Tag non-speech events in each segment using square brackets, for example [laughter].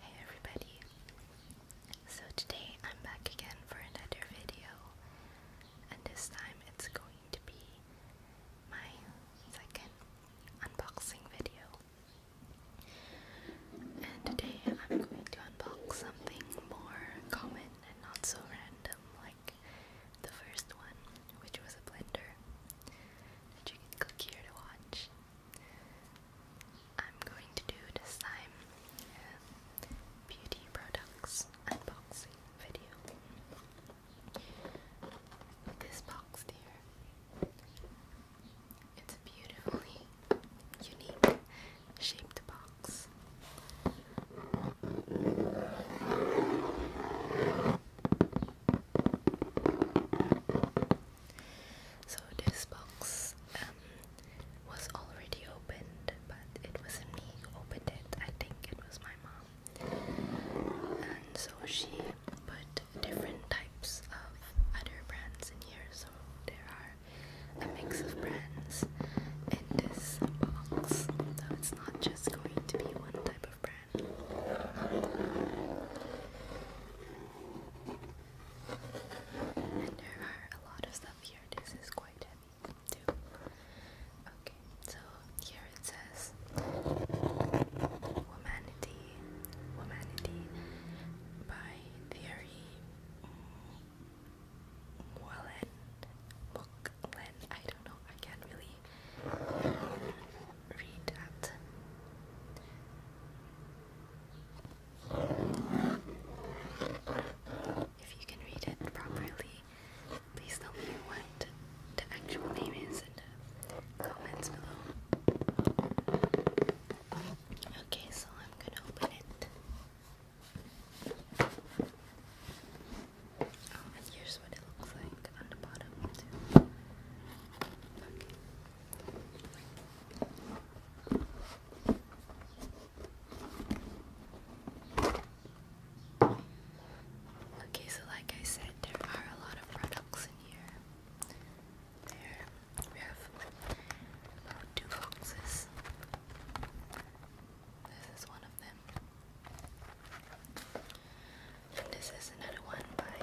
Hey everybody! So today I'm back again for another video, and this time it's going to be my second unboxing video. And today I'm going to unbox something more common and not so random like the first one, which was a blender you can click here to watch. I'm going to do this time uh, beauty products unboxing video. This box here, it's a beautifully unique shaped box. So this box um, was already opened, but it wasn't me who opened it. I think it was my mom, and so she put different types of other brands in here. So there are a mix of brands in this box. So it's not just going to be one type of brand. And there are a lot of stuff here. This is quite heavy too. Okay, so here it says Womanity, Womanity by Theory Wallen Bookland. I don't know, I can't really read that. If you can read it properly, please tell me what the actual name is in the comments below. Okay, so I'm gonna open it. Oh, and here's what Okay. so like I said, there are a lot of products in here. There we have two boxes. This is one of them. And this is another one by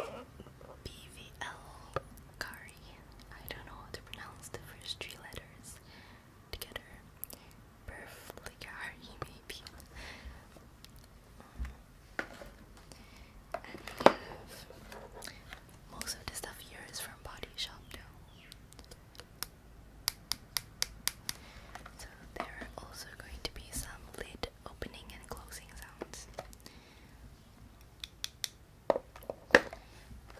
BVL Kari. I don't know how to pronounce the first three letters together. Perfligari, maybe. And we have most of the stuff here is from Body Shop, though. So there are also going to be some lid opening and closing sounds.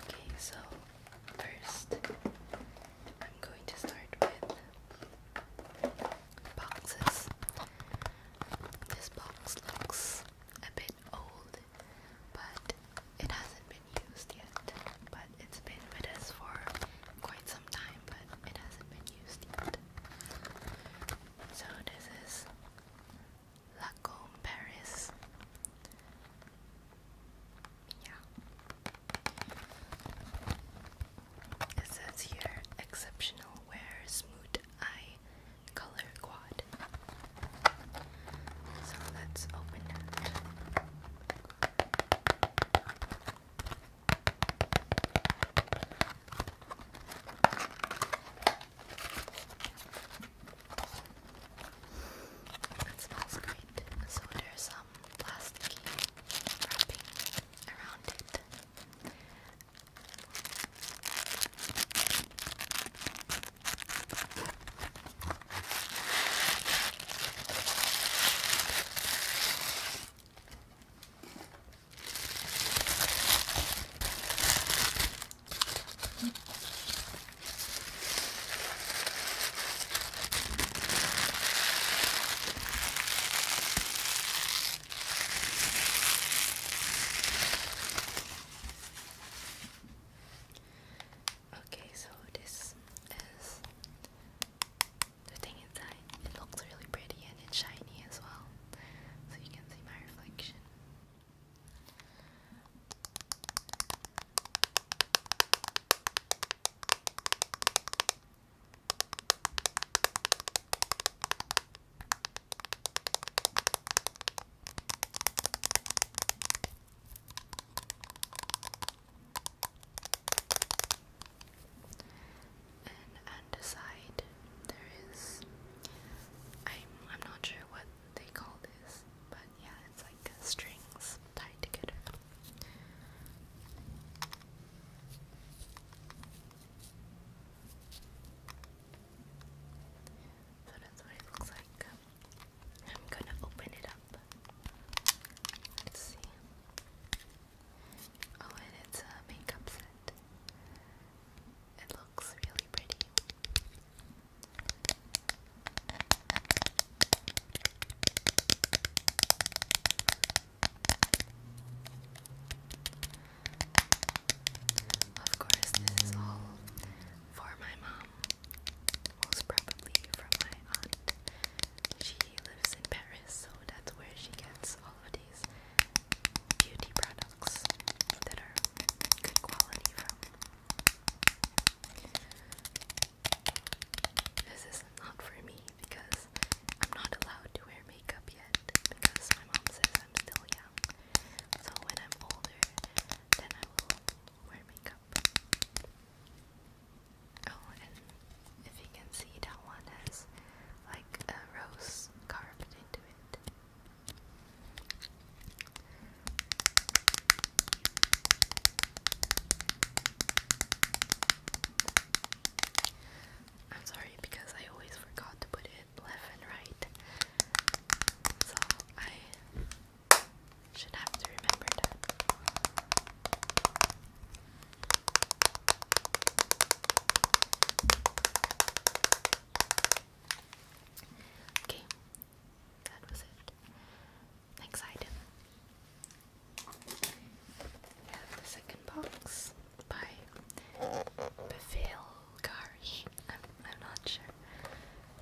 Okay, so first I'm going to start with boxes. This box looks a bit old, but it hasn't been used yet. But it's been with us for quite some time, but it hasn't been used yet. So this is Lacombe Paris. Yeah. It says here exceptional wear smooth eye color quad. So let's open it. It smells great, so there's some plasticky wrapping around it. Okay, so this is the thing inside. It looks really pretty and it's shiny as well. So you can see my reflection. And on there is I'm I'm not sure what they call this, but yeah, it's like uh, strings tied together. So that's what it looks like. I'm gonna open it up. Let's see. Oh, and it's a makeup set. It looks really pretty. Of course, this is all for my mom. Most probably from my aunt. She lives in Paris, so that's where she gets all of these beauty products that are good quality This is not for me because I'm not allowed to wear makeup yet because my mom says I'm still young. So when I'm older, then I will wear makeup. Oh, and if you can see that one has like a rose carved into it. I'm sorry because I always forgot to put it left and right. So I should have to Okay, that was it. Next item. the second box by Bevil Gari. I'm, not sure,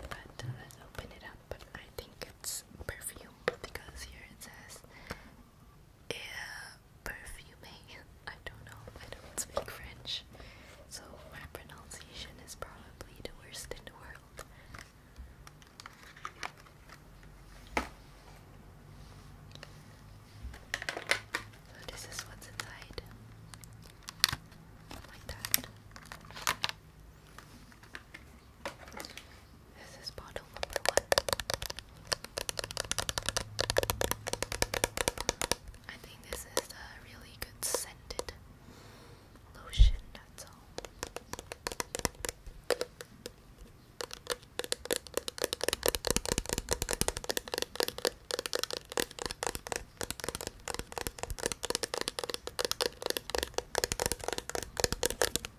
but uh, let's open it up. I think it's perfume because here it says perfume. [laughs] I don't know. I don't speak French, so my pronunciation is probably the worst in the world. So this is what's inside, like that. This is bottle number one. I think this is a really good scented lotion, that's all. Oh,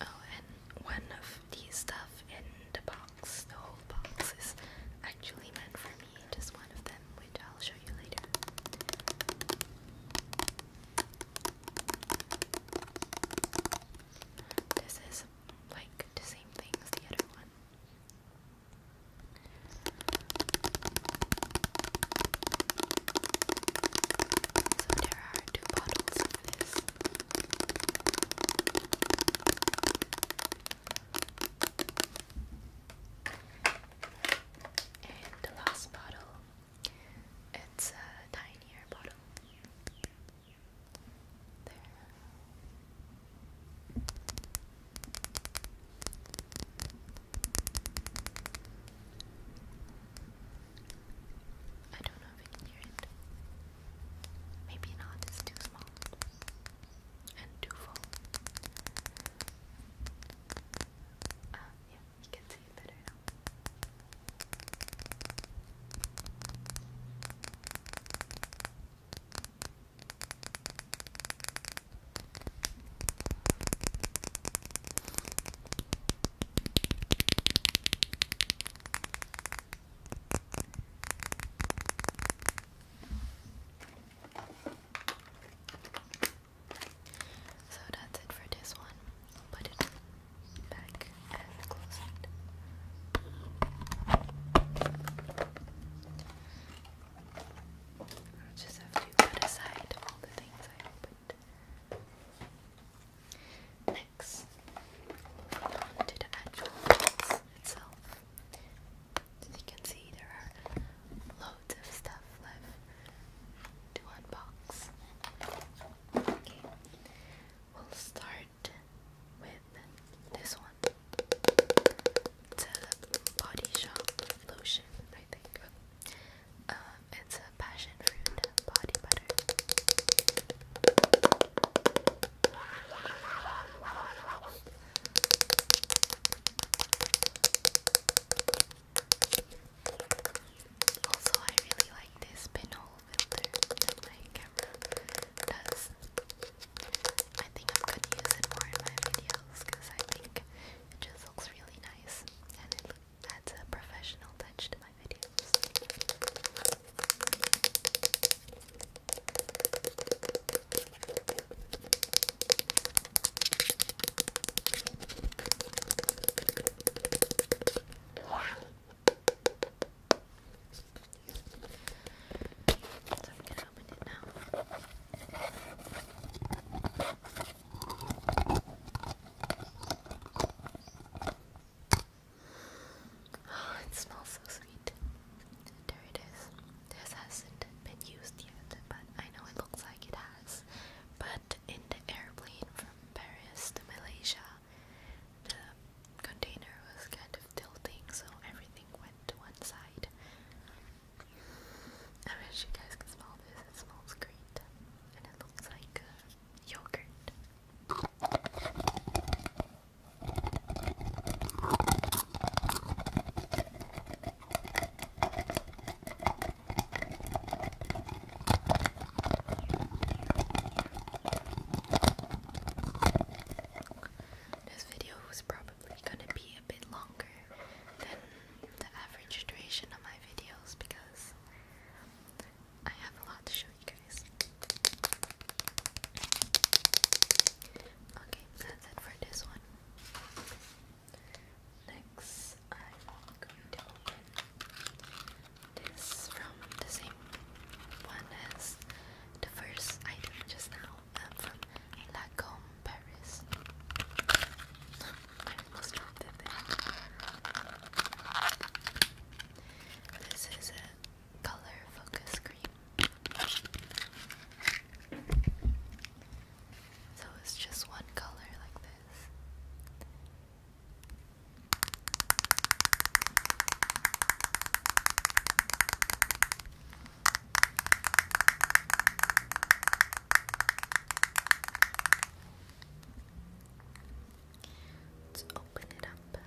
and one of the stuff in the box, the whole box, is actually meant for me, just one of them, which I'll show you later. This is like the same thing as the other one. So there are two bottles And the last bottle, it's a tinier bottle. There. I don't know if you can hear it. Maybe not, it's too small and too full. Uh, yeah, you can see it better now. Okay. So that's it for this one. Put it back and close it. I'll just have to put aside all the things I opened. Next, moving the actual box itself. As you can see, there are loads of stuff left to unbox. we'll start with this one. It's a body shop lotion, I think. Um, it's a passion fruit body butter. Also, I really like this pinhole filter my camera does. I think I'm gonna use it more in my videos because I think it just looks really nice and it adds a professional touch to my videos it Oh, it smells so sweet. There it is. This hasn't been used yet, but I know it looks like it has. But in the airplane from Paris to Malaysia, container was kind of tilting, so everything went to one side. I wish you guys could smell this. It smells great, and it looks like yogurt. This video was probably gonna be a bit longer than the average duration of my videos because I have a lot to show you guys. Okay, that's it for this one. Next, I'm going this from the same one as the first item just now. I'm from Lacombe, Paris. I [laughs] almost dropped it This is a color focus cream. So it's just one color like this. Let's open it up.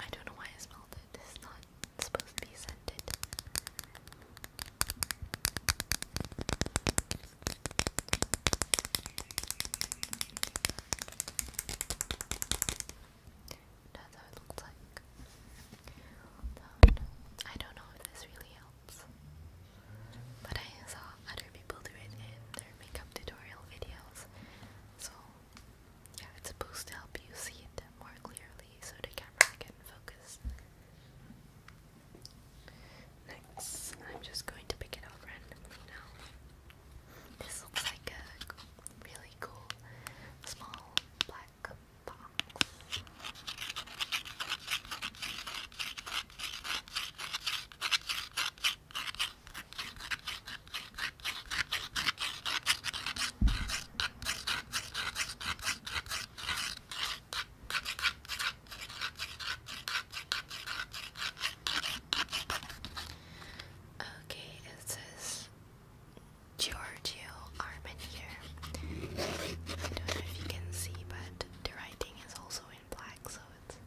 I don't know why I smelled it. It's not supposed to be scented. That's how it looks like. I don't know if this really helps, but I saw other people do it in their makeup tutorial videos, so yeah, it's supposed to help you see it more clearly so the camera can focus. Next, I'm just going to pick it up randomly now. This looks like a really cool small black box. Okay, it says Giorgio Armenier. I don't know if you can see, but the writing is also in black, so it's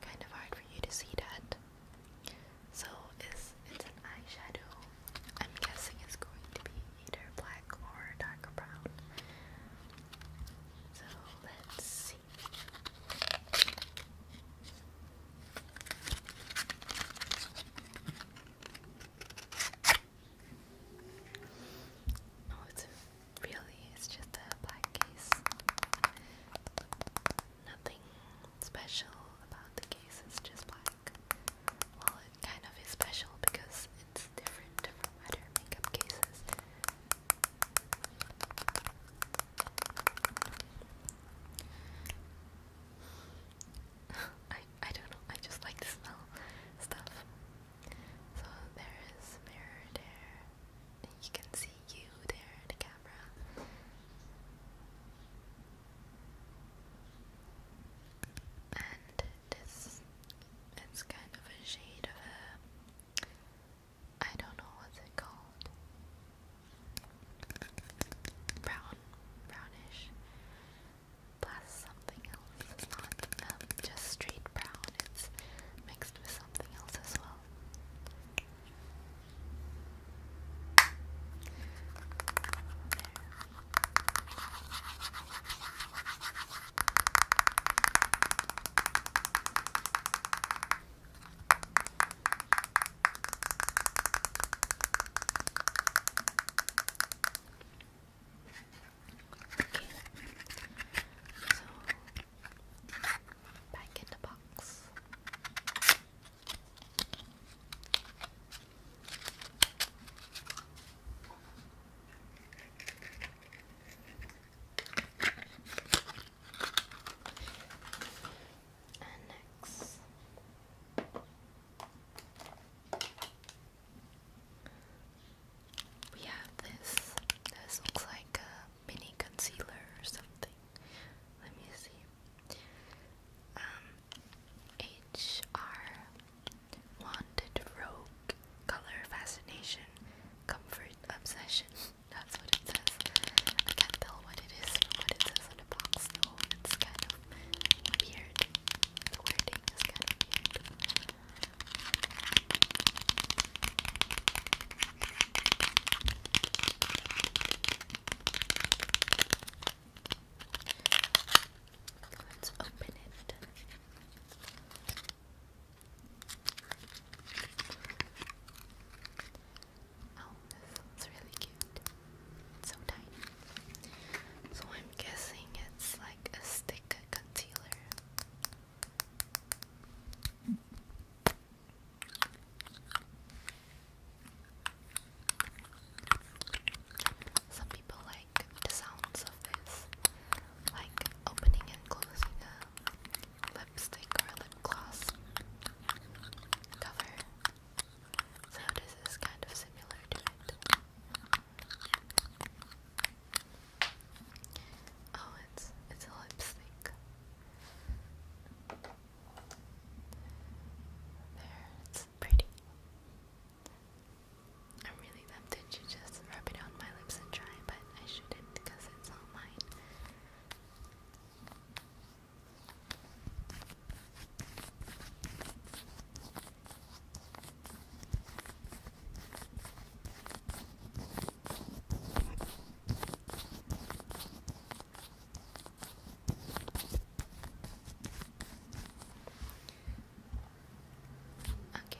kind of hard for you to see that. So it's, it's an eyeshadow. I'm guessing it's going to be either black or dark brown. So let's see. Oh, it's really, it's just a black case. Nothing special about the case, it's just black. Well, it kind of is special because it's different from other makeup cases. I I don't know, I just like the smell stuff. So there is mirror there. you can see you there, the camera. And this it's kind of a shade of a I don't know what's it called. Brown, brownish. Plus something else. It's not um, just straight brown. It's mixed with something else as well. Okay. So back in the box. Okay. And next. We have this. This looks like a mini concealer or something. Let me see. Um, HR Wanted Robe color fascination, comfort obsession. [laughs] That's what it says. I can't tell what it is from what it says on the box though. It's kind of weird. The wording is kind of weird. Let's open it. Oh, this one's really cute. It's so tiny. So I'm guessing it's like a stick concealer. Some people like the sounds of this like opening and closing a lipstick or a lip gloss cover. So this kind of similar to it. Oh, it's it's lipstick. There, it's pretty. I'm really tempted to just rub it on my lips and try, but I shouldn't because it's not mine. Okay.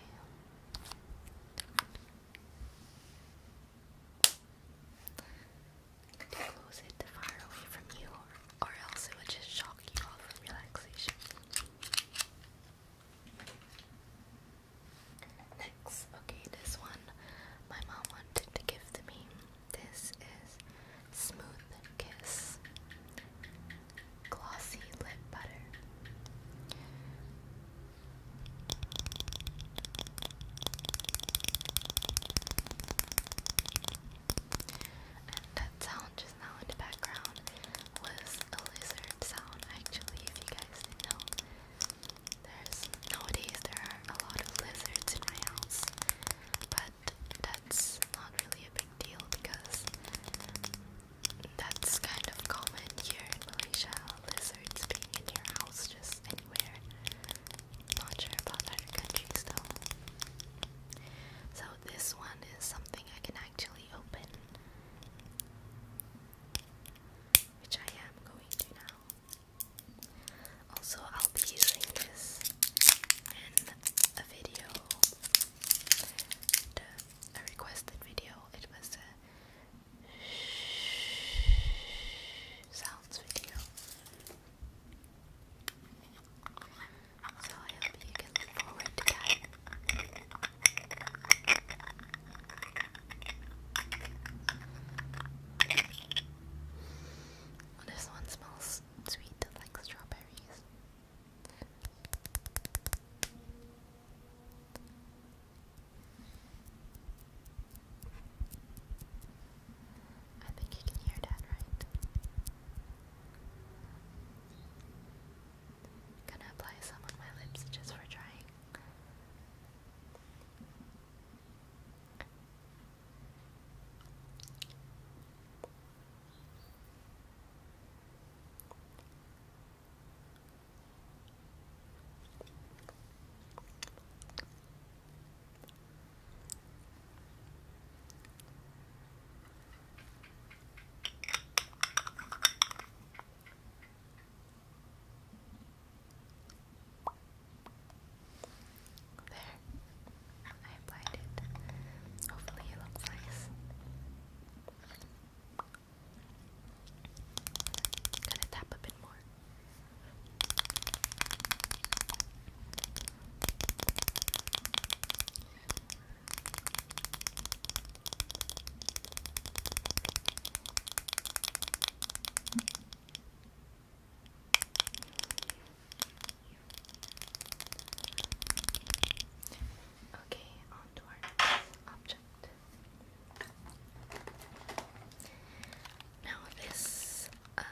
Could close it to far away from you, or, else it would just shock you all from relaxation? Next, okay, this one my mom wanted to give to me. This is Smooth Kiss glossy lip butter. that sound just now in the background was a lizard sound actually if you guys know. There's nowadays there are a lot of lizards in my house but that's not really a big deal because that's kind of common here in Malaysia. Lizards being in your house, just anywhere. Not sure about other countries though. So this one is something I can actually open, which I am going to now. Also, I'll be using this in a video, a requested video. It was a sounds video. I hope you can look forward to that. This one smells sweet like strawberries. I think you can hear that, right? gonna apply some on my lips just for trying. There, I applied it. Hopefully, it looks nice. Gonna tap a bit more. Okay, on object. Now this, um,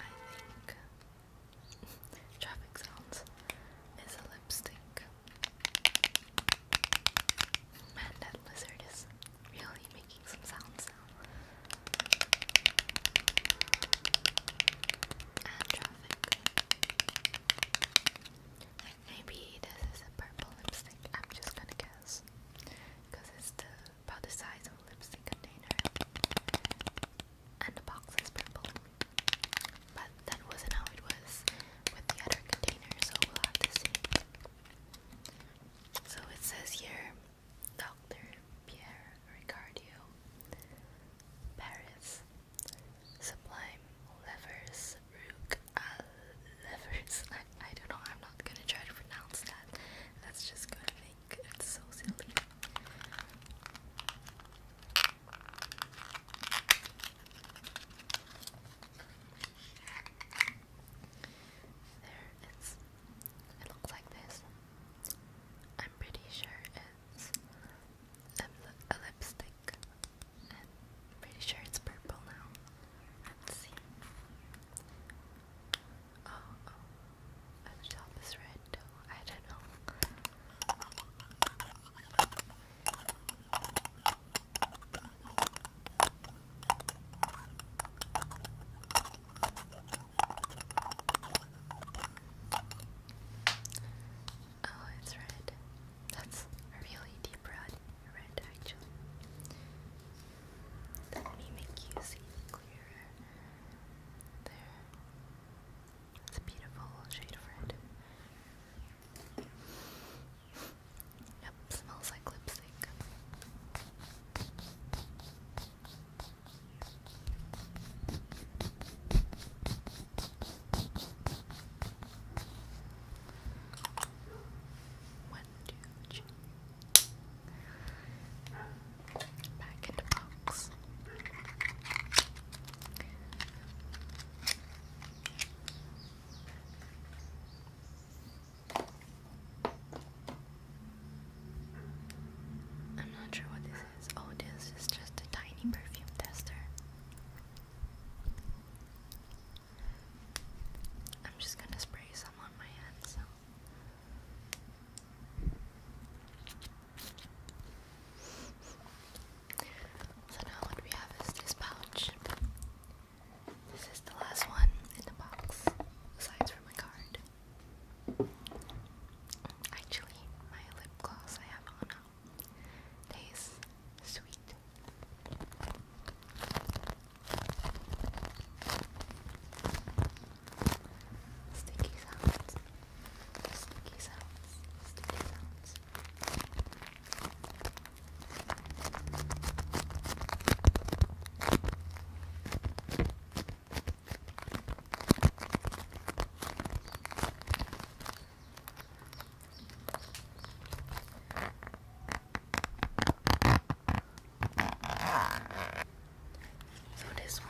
I think, [laughs] traffic sounds is a lipstick. Man, that lizard is really making some sounds maybe this is a purple lipstick. I'm just gonna guess. Because it's the, about the size of a lipstick container. And the box is purple. But that wasn't how it was with the other container, so we'll have to see. So it says here Dr. Pierre Ricardio, Paris, Sublime Levers Rook uh, Levers. [laughs] I, I don't know, I'm not gonna try to pronounce that. That's just gonna make it so silly. There it's it looks like this. I'm pretty sure it's a lipstick pretty sure it's purple now. Let's see. Oh, oh. the top is red I don't know. Oh, it's red. That's really deep red, red actually. Let me make you see clearer. There. It's a beautiful shade of red. Yep, smells like lipstick. One, two, three. Back in box. I'm not sure what this is. Oh, this is just a tiny perfume tester. I'm just gonna spray some on my hand, so. now what we have is this pouch. This is the last one in the box, aside from my card. Actually, my lip gloss I have on Tastes sweet. Sticky sounds. Sticky sounds. Sticky sounds. So this one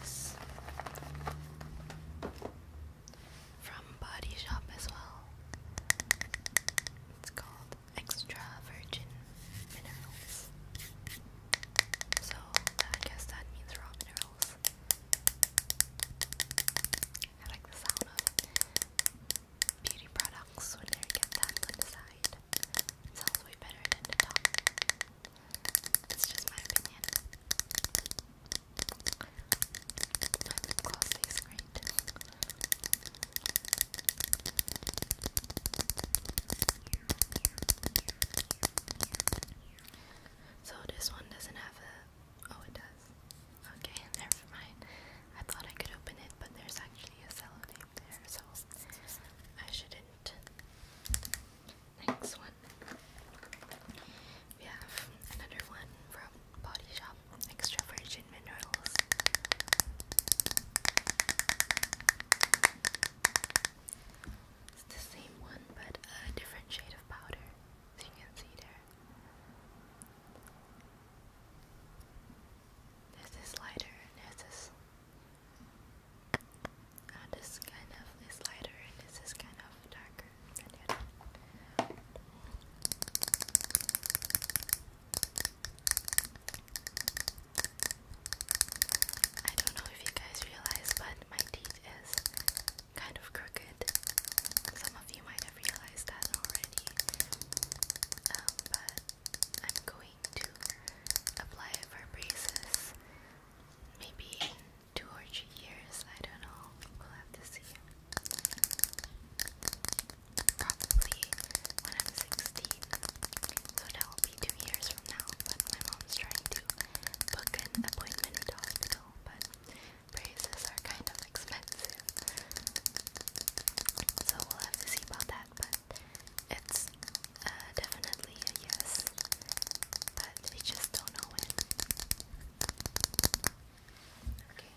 is from Body Shop as well. It's called Extra Virgin Minerals. So I guess that means raw minerals. I like the sound of beauty products when they get tapped on sounds way better than the top. It's just my opinion. My lip gloss great. So this one doesn't have a Oh, it does. Okay, never mind. I thought I could open it, but there's actually a sellotape there, so I shouldn't. Next one. We have another one from Body Shop Extra Virgin Minerals. It's the same one, but a different shade of powder you can see there. There's this lighter, there's this. Uh, this kind of lighter, and this is kind of darker I don't know if you guys realize, but my teeth is kind of crooked. Some of you might have realized that already, um, but I'm going to apply for braces maybe two or three years. I don't know. We'll have to see. Probably when I'm 16. So that will be two years from now. But my mom's trying to book an appointment at the hospital. But Braces are kind of expensive. So we'll have to see about that, but it's uh, definitely a yes. But we just don't know when. Okay.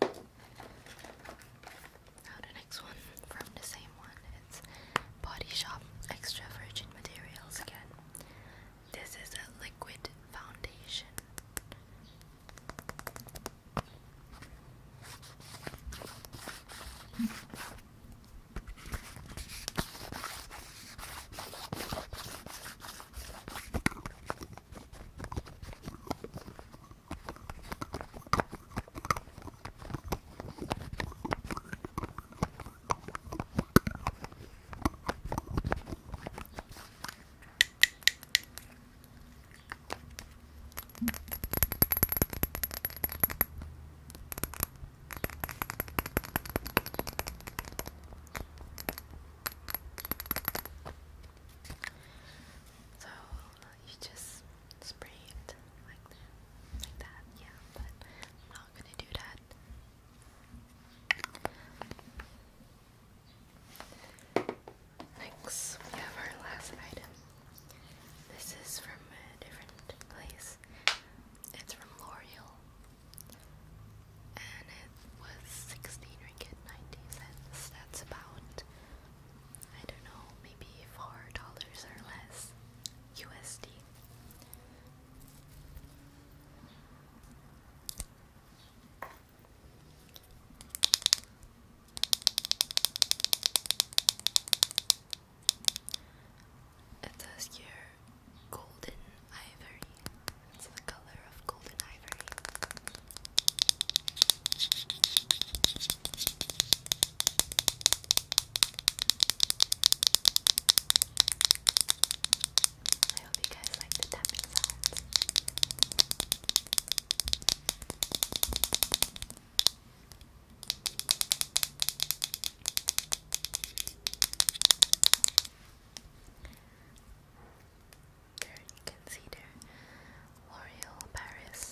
Now the next one from the same one. It's Body Shop Extra Virgin Materials again. This is a liquid foundation. So you just spray it like that, yeah, but I'm not gonna do that. Next, we have our last item. This is from a different place. It's from L'Oreal. And it was 16 ringgit 90 cents. That's about, I don't know, maybe $4 or less USD. It says here golden ivory. It's the color of golden ivory. I hope you guys like the tapping sounds. There you can see there L'Oreal Paris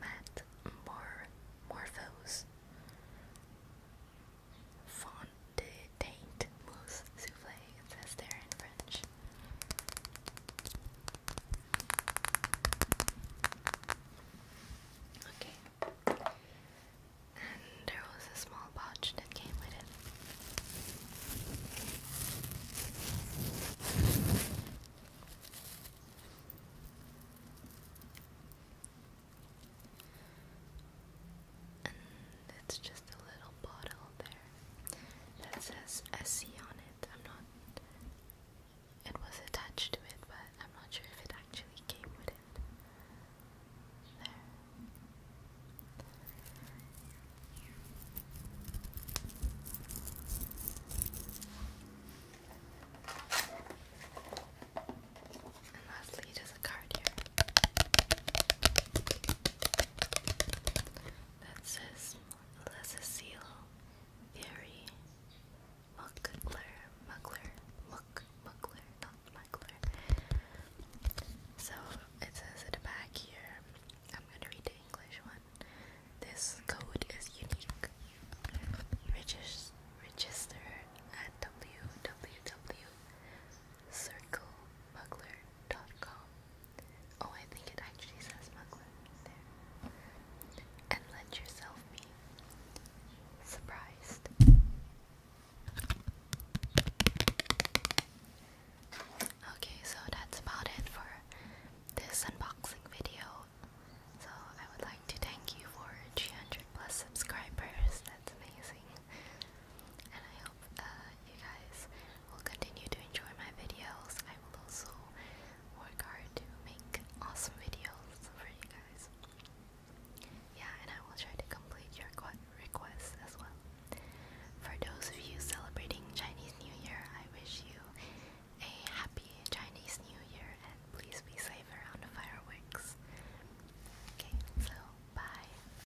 Matte More Morphose Font de taint mousse souffle, it says there in French. Okay. And there was a small pouch that came with it and it's just a little bottle there that says SC on it. I'm not. It was attached to it, but I'm not sure if it actually came with it. There. And lastly, the that says Cecile Fury Muckler, Muckler, Muck, Muckler, not Muckler. So it says at the back here, I'm gonna read the English one. This code is unique. register at www. Mugler.com. Oh, I think it actually says Mugler there. And let yourself be surprised. Okay, so that's about it for this unboxing video. So I would like to thank you for 300 plus subscribers. That's amazing. Uh, you guys will continue to enjoy my videos. I will also work hard to make awesome videos for you guys. Yeah, and I will try to complete your requests as well. For those of you celebrating Chinese New Year, I wish you a happy Chinese New Year and please be safe around the fireworks. Okay, so bye.